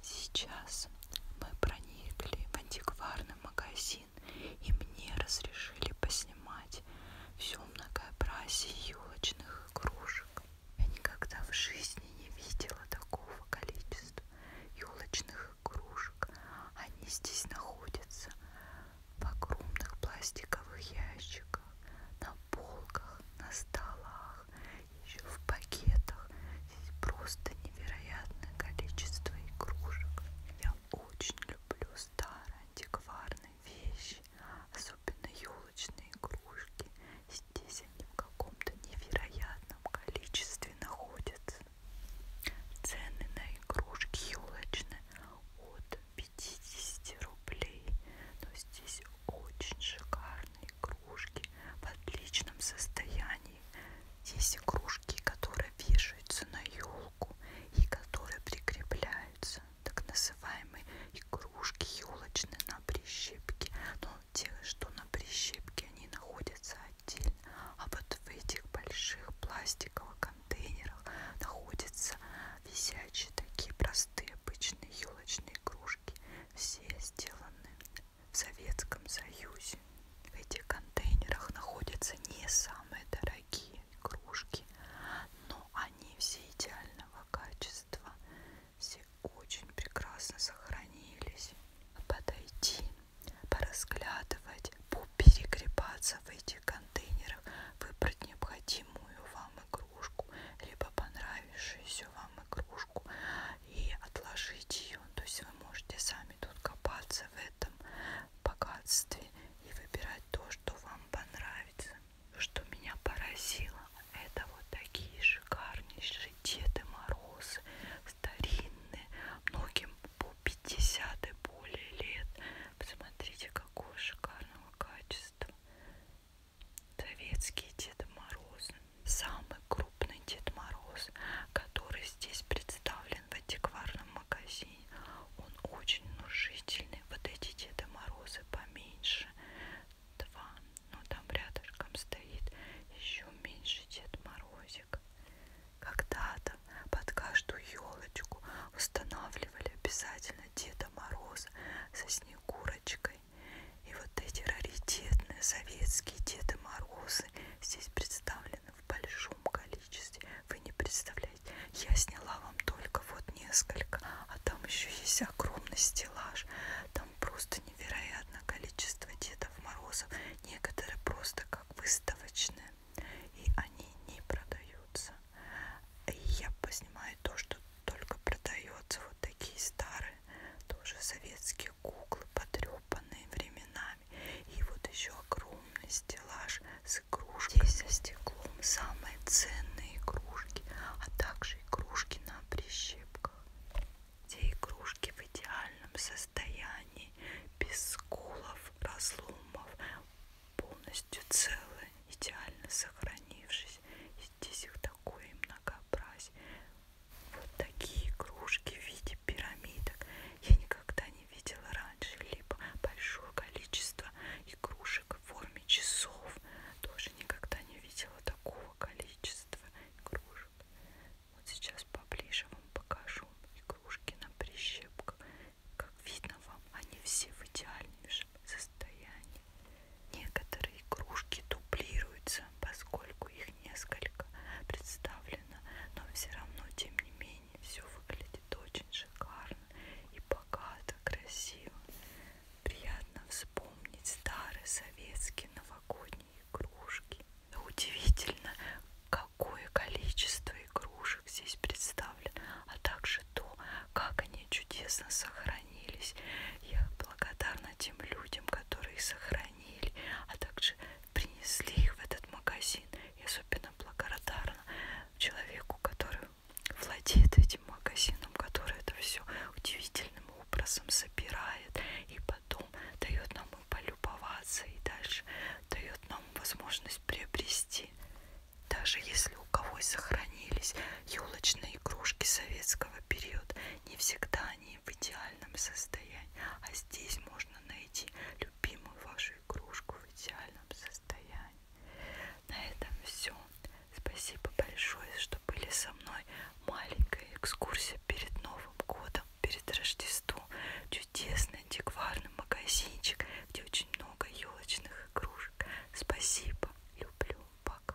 Сейчас мы проникли в антикварный магазин, и мне разрешили поснимать все многообразие елочных игрушек. Я никогда в жизни не видела такого количества елочных игрушек. Они здесь находятся в огромных пластиковых ящиках, на полках, на столах упаковках, еще в пакетах. Здесь просто невероятное количество игрушек. Я очень люблю старые антикварные вещи, особенно елочные игрушки. Здесь они в каком-то невероятном количестве находятся. Цены на игрушки елочные от 50 рублей. Но здесь очень шикарные игрушки игрушки в отличном состоянии. Есть игрушки, которые вешаются на елку и которые прикрепляются, так называемые игрушки елочные на прищепке. Но те, что на прищепке, они находятся отдельно, а вот в этих больших пластиковых контейнерах находятся висячие такие простые обычные елочные игрушки. Все сделаны в Советском Союзе в этих контейнерах находятся не самые дорогие игрушки, но они все идеального качества, все очень прекрасно сохранились. Подойти, поразглядывать, перегребаться в этих контейнерах, выбрать необходимую вам игрушку, либо понравившуюся вам игрушку кормушку и отложить ее. То есть вы можете сами тут копаться в этом богатстве и выбирать то, что вам понравится. Что меня поразило, это вот такие шикарнейшие Деды Морозы, старинные, многим по 50 и более лет. Посмотрите, какого шикарного качества. Советские Деды Морозы самый крупный Дед Мороз, который здесь представлен в антикварном магазине. Он очень внушительный. Вот эти Деды Морозы поменьше. Два. Но ну, там рядышком стоит еще меньше Дед Морозик. Когда-то под каждую елочку устанавливали обязательно Деда Мороза со Снегурочкой Петрушкой. И вот эти раритетные советские Деды Морозы здесь представлены в большом количестве. Вы не представляете. Я сняла вам только вот несколько, а там еще есть огромный стеллаж. Там просто невероятное количество Дедов Морозов. Некоторые просто как выставочные. И они не продаются. И я поснимаю то, что только продается. Вот такие старые, тоже советские игрушки, куклы, потрепанные временами. И вот еще огромный стеллаж с игрушками. Здесь за стеклом самые ценные игрушки, а также игрушки на прищепках. Те игрушки в идеальном состоянии, без сколов, разломов, полностью целые, идеально сохранившись. И здесь их такое многообразие. Вот такие игрушки в виде пирамидок я никогда не видела раньше. Либо большое количество игрушек в форме часов. Тоже никогда не видела такого количества игрушек. Вот сейчас поближе вам покажу игрушки на прищепках. Как видно вам, они все в идеальнейшем состоянии. Некоторые игрушки дублируются, поскольку их несколько представлено, но все равно, тем не менее, все выглядит очень шикарно и богато, красиво. Приятно вспомнить старые советские новогодние игрушки. Удивительно, какое количество игрушек здесь представлено, а также то, как они чудесно сохранились. Я благодарна тем людям, которые их сохранили оценили, а также принесли их в этот магазин. И особенно благодарна человеку, который владеет этим магазином, который это все удивительным образом собирает и потом дает нам и полюбоваться, и дальше дает нам возможность приобрести. Даже если у кого сохранились елочные игрушки советского периода, не всегда они в идеале идеальном состоянии. А здесь можно найти любимую вашу игрушку в идеальном состоянии. На этом все. Спасибо большое, что были со мной. Маленькая экскурсия перед Новым годом, перед Рождеством. Чудесный антикварный магазинчик, где очень много елочных игрушек. Спасибо. Люблю. Пока.